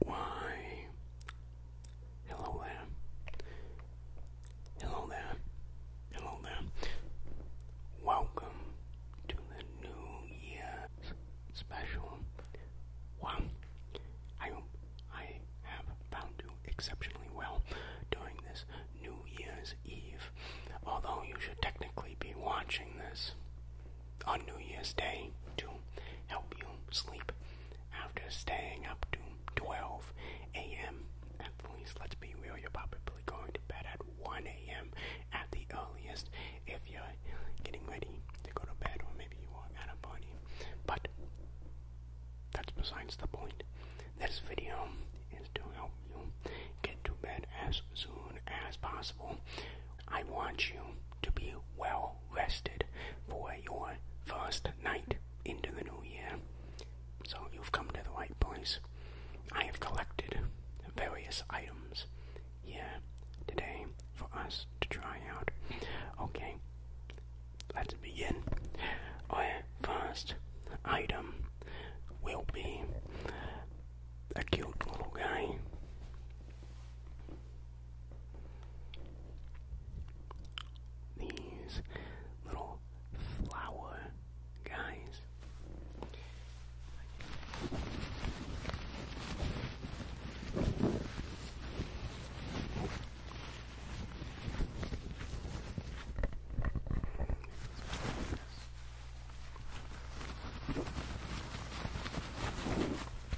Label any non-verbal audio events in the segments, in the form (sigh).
Why? Hello there. Hello there. Hello there. Welcome to the New Year special. Wow. I I have found you exceptionally well during this New Year's Eve, although you should technically be watching this on New Year's Day to help you sleep after staying up to 12 a.m. At least, let's be real, you're probably going to bed at 1 a.m. at the earliest if you're getting ready to go to bed, or maybe you are at a party. But that's besides the point. This video is to help you get to bed as soon as possible I want you to be well rested for your first night into the new year. So you've come to the right place. I have collected various items here today for us to try out. Okay, let's begin. Our first item will be a cute little guy. These little flower guys.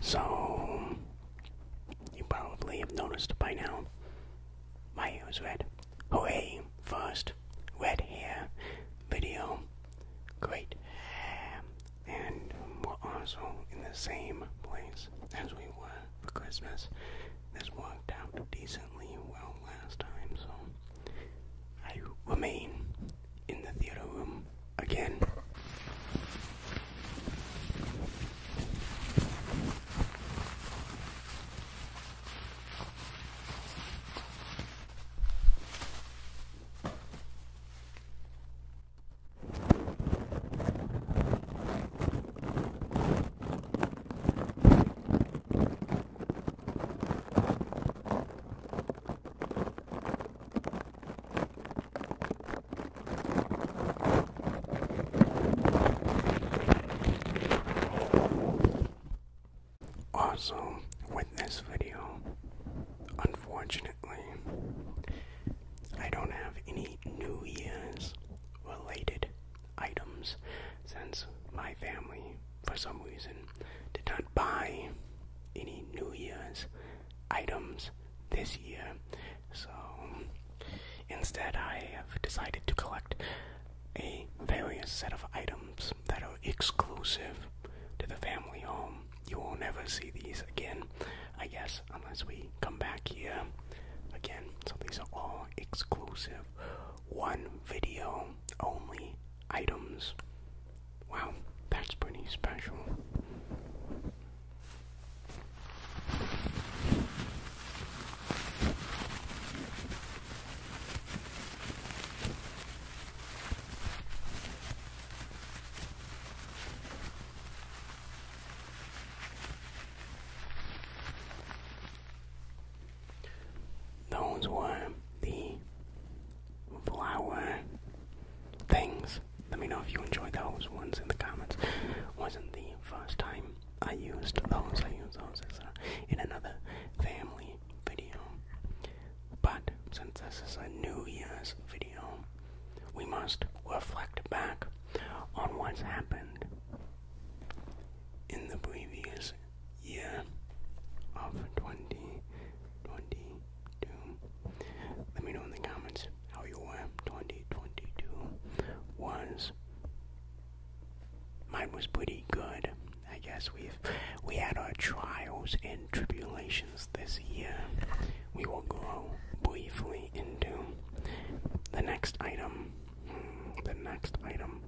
So, you probably have noticed by now my hair is red. Hooray! First red hair video. Great. And we're also in the same place price as we were for Christmas. This worked out decently well last time, so I remain in the theater room again. Also, with this video, unfortunately, I don't have any New Year's related items since my family, for some reason, did not buy any New Year's items this year. So instead, I have decided to collect a various set of items that are exclusive to the family home. You will never see these again, I guess unless we come back here again. So these are all exclusive one video only items. Wow, that's pretty special. Those were the flower things. Let me know if you enjoyed those ones in the comments. Wasn't the first time I used those. I those in another family video. But since this is a New Year's video, we must reflect back on what's happened in the previous year of 2022. Let me know in the comments how your 2022 was. Mine was pretty good. I guess we've we had our trials and tribulations this year, we will go briefly into the next item. Hmm, the next item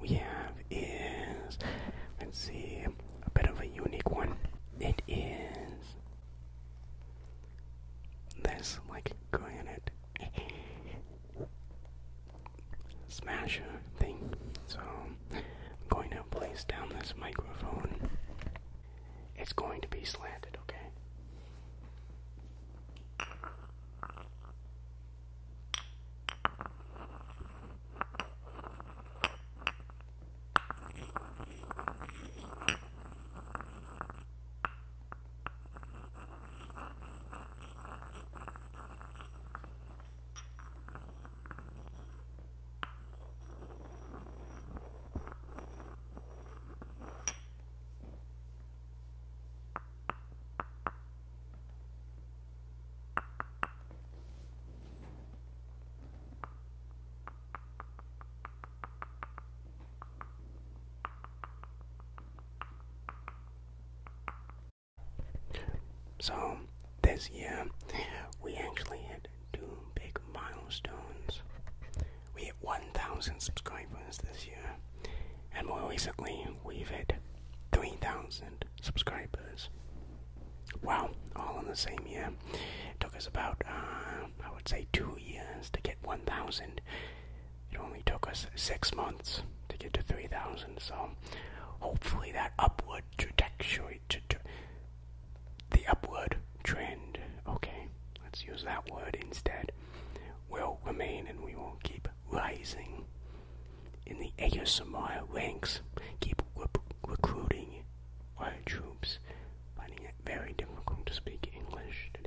we have is, let's see, a bit of a unique one. It is this, like granite smasher thing. So I'm going to place down this microphone it's going to be slanted, okay? So, this year we actually had two big milestones we hit 1,000 subscribers this year, and more recently, we've hit 3,000 subscribers. Wow, all in the same year. It took us about, uh, I would say, two years to get 1,000. It only took us six months to get to 3,000, so hopefully that upward trajectory, the upward trend, okay, let's use that word instead, will remain and we will keep rising in the ASMR ranks, keep recruiting our troops. Finding it very difficult to speak English today.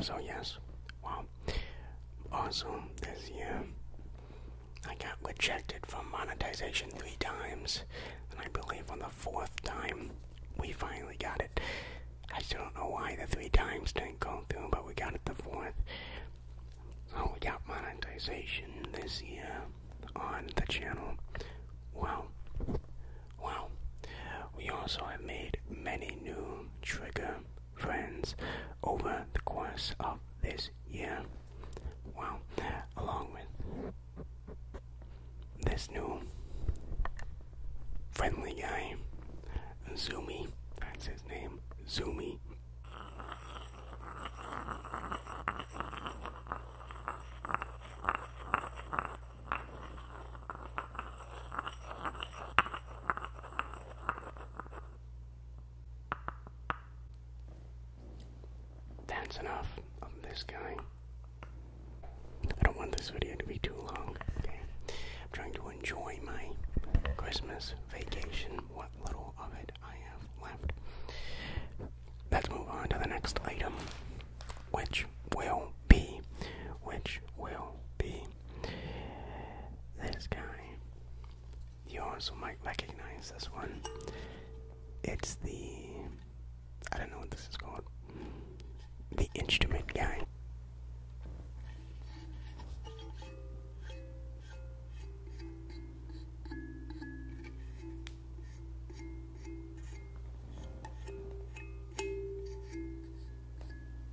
So yes, well. Also, this year I got rejected from monetization three times, and I believe on the fourth time we finally got it. I still don't know why the three times didn't go through, but we got it the fourth. So we got monetization this year on the channel. Well, well, We also have made many new trigger friends over the course of this year. Wow, along with this new friendly guy, Zoomy, that's his name, Zoomy. That's enough of this guy. I don't want this video to be too long. I'm trying to enjoy my Christmas vacation, what little of it I have left. Let's move on to the next item, which will be, which will be this guy. You also might recognize this one. It's the. I don't know what this is called. The instrument guy.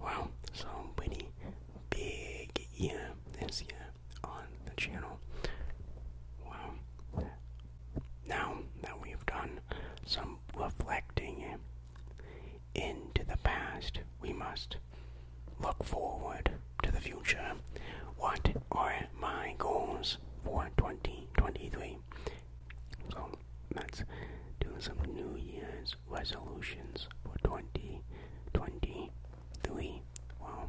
Wow, so pretty big year this year on the channel. Wow, now that we've done some reflecting into the past, we must look forward to the future. What are my goals for 2023? So let's do some New Year's resolutions for 2023. Wow.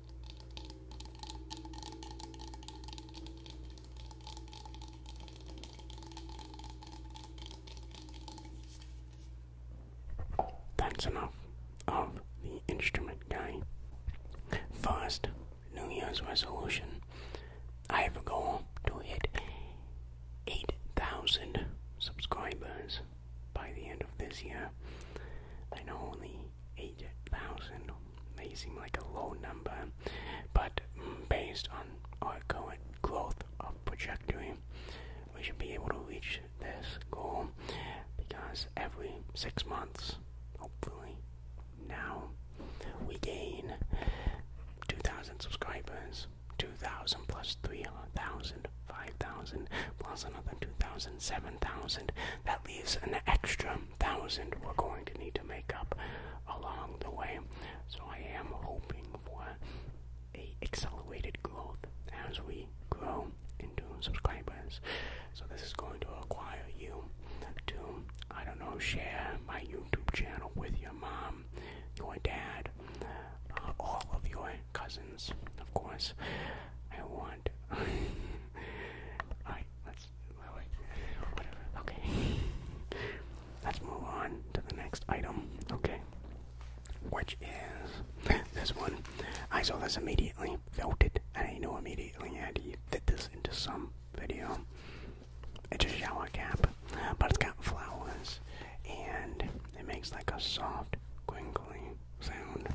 That's enough of the instrument guy. First, New Year's resolution. I have a goal to hit 8,000 subscribers by the end of this year. I know only 8,000 may seem like a low number, but based on our current growth of trajectory, we should be able to reach this goal because every six months, hopefully now, we gain 2,000 subscribers, 2,000 plus 3,000 5,000 plus another 2,000, That leaves an extra 1,000 we're going to need to make up along the way. So I am hoping for a accelerated growth as we grow into subscribers. So this is going to require you to, I don't know, share my YouTube channel with your mom, your dad, uh, all of your cousins, of course. I want. (laughs) Alright, let's. Wait, whatever. Okay. Let's move on to the next item. Okay. Which is this one. I saw this immediately, felt it, and I knew immediately I had to fit this into some video. It's a shower cap, but it's got flowers, and it makes like a soft, crinkly sound.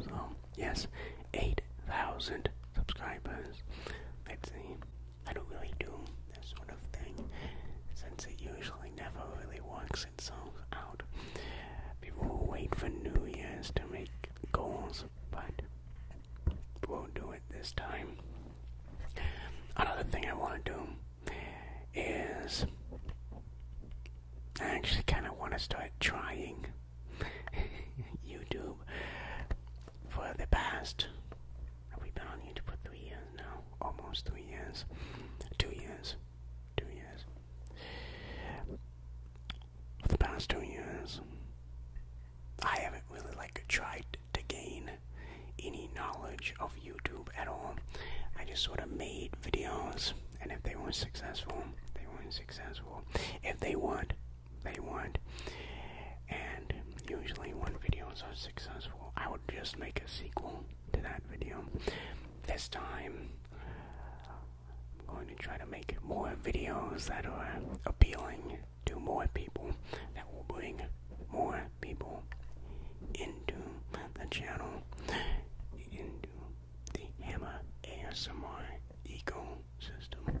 So, yes, 8,000 subscribers. let the I don't really do this sort of thing since it usually never really works out. People wait for New Year's to make goals, but won't do it this time. Another thing I want to do is I actually kind of want to start trying (laughs) YouTube for the past. Have we been on YouTube for three years now? Almost three years. Two years. Two years. the past two years, I haven't really like tried to gain any knowledge of YouTube at all. I just sort of made videos, and if they weren't successful, they weren't successful. If they weren't, they weren't. And usually, when videos are successful, I would just make a sequel to that video. This time, I'm going to try to make more videos that are appealing to more people, that will bring more people into the channel, into the Hammer ASMR system.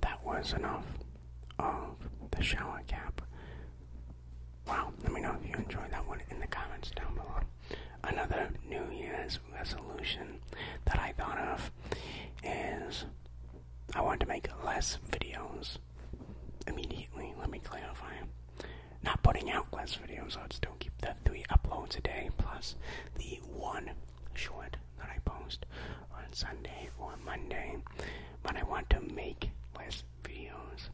That was enough of the shower cap. Wow, let me know if you enjoyed that one in the comments down below. Another New Year's resolution that I thought of is I want to make less videos immediately. Let me clarify. Not putting out less videos, I'll still keep the three uploads a day plus the one short that I post on Sunday or Monday, but I want to make less videos.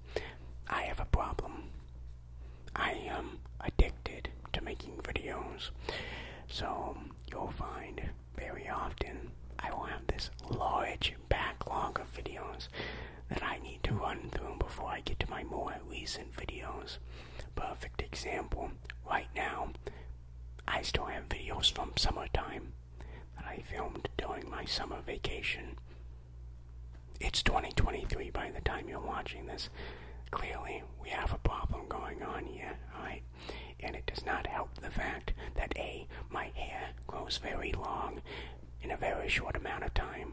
I have a problem. I am addicted to making videos. So you'll find very often I will have this large backlog of videos that I need to run through before I get to my more recent videos. Perfect example right now I still have videos from summertime that I filmed during my summer vacation. It's 2023 by the time you're watching this. Clearly, we have a problem going on here, right? And it does not help the fact that A, my hair grows very long in a very short amount of time,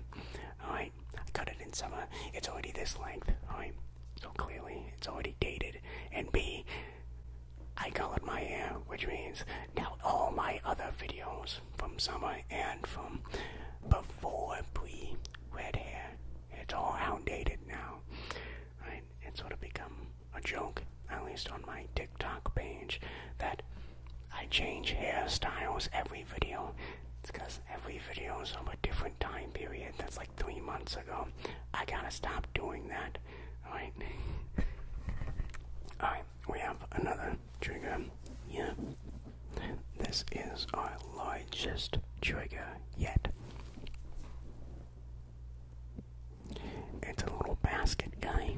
alright? I cut it in summer, it's already this length, alright? So clearly, it's already dated. And B, I colored my hair, which means now all my other videos from summer and from before pre red hair, it's all outdated now. Right? It's sort of become a joke, at least on my TikTok page, that I change hairstyles every video. It's because every video is from a different time period. That's like three months ago. I gotta stop doing that. Alright. Alright, we have another trigger. Yeah. This is our largest trigger yet. It's a little basket guy.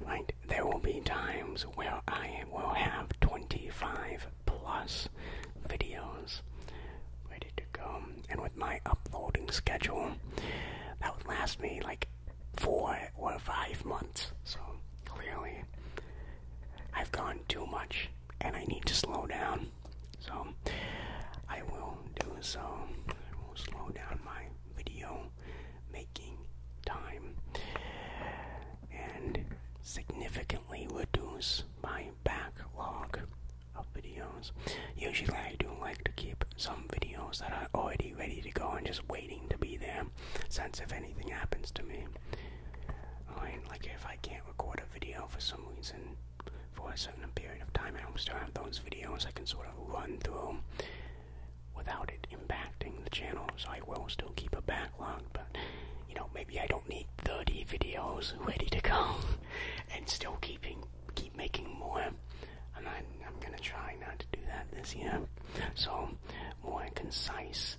Right, there will be times where I will have 25 plus videos ready to go. And with my uploading schedule, that would last me like four or five months. So clearly, I've gone too much and I need to slow down. So I will do so. I will slow down my video making time and significantly reduce my backlog of videos. Usually, I do like to keep some videos that are already ready to go and just waiting to be there, since if anything happens to me, right, like if I can't record a video for some reason for a certain period of time, I still have those videos I can sort of run through without it impacting the channel. So I will still keep a backlog, but you know, maybe I don't need 30 videos ready to go (laughs) and still keeping keep making more. And I, I'm gonna try not to do that this year. So, more concise,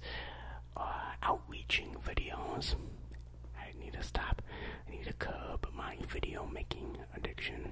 uh, outreaching videos. I need to stop. I need to curb my video making addiction.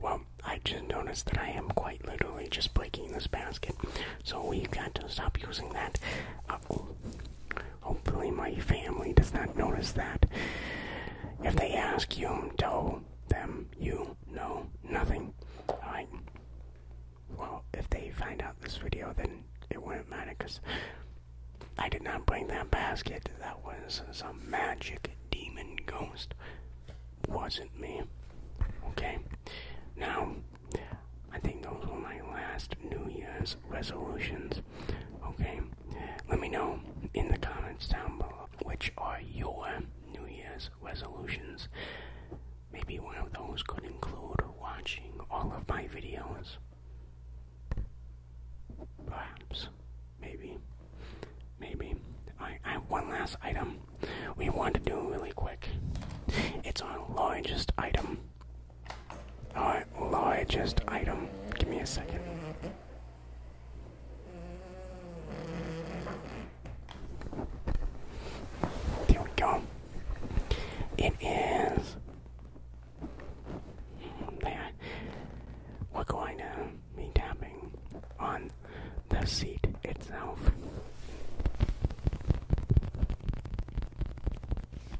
Well, I just noticed that I am quite literally just breaking this basket, so we've got to stop using that. Uh, Hopefully, my family does not notice that. If they ask you, tell them you know nothing. Alright? Well, if they find out this video, then it wouldn't matter because I did not bring that basket. That was some magic demon ghost. Wasn't me. Okay? Now, I think those were my last New Year's resolutions. Okay, let me know in the comments down below which are your New Year's resolutions. Maybe one of those could include watching all of my videos. Perhaps, maybe, maybe. I, I have one last item we want to do really quick. It's our largest item Oh, just item. Give me a second. There we go. It is. There. We're going to be tapping on the seat itself.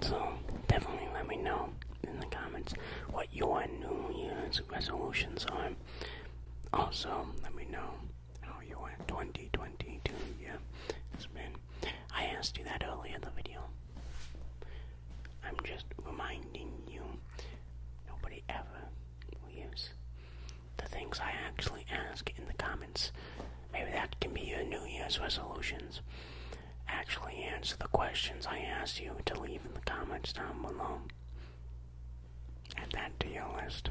So, definitely let me know in the comments what your New Year's resolutions are. Also, let me know how your 2022 year has been. I asked you that earlier in the video. I'm just reminding you nobody ever uses the things I actually ask in the comments. Maybe that can be your New Year's resolutions. Actually answer the questions I asked you to leave in the comments down below. Add that to your list.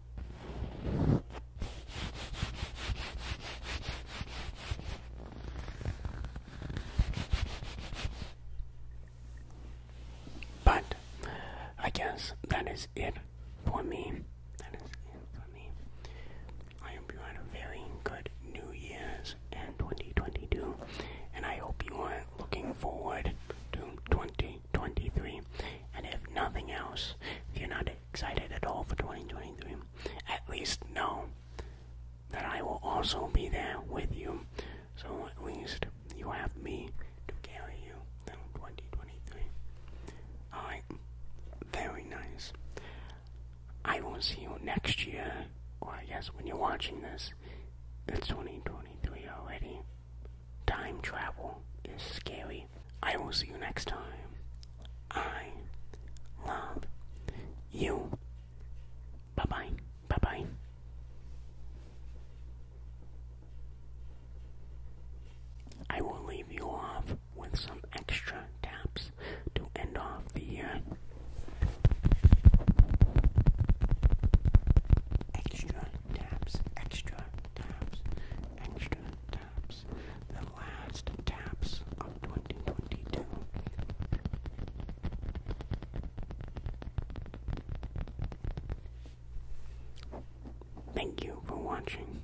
But I guess that is it for me. I hope you had a very good New Year's and 2022, and I hope you are looking forward to 2023. And if nothing else, you're not excited at all for 2023. At least know that I will also be there with you. So at least you have me to carry you through 2023. Alright, very nice. I will see you next year, or I guess when you're watching this, it's 2023 already. Time travel is scary. I will see you next time. I love you. Bye bye. Bye bye. I will leave you off with some extra taps to end off the Extra taps, extra taps, extra taps the last taps of 2022. Thank you for watching.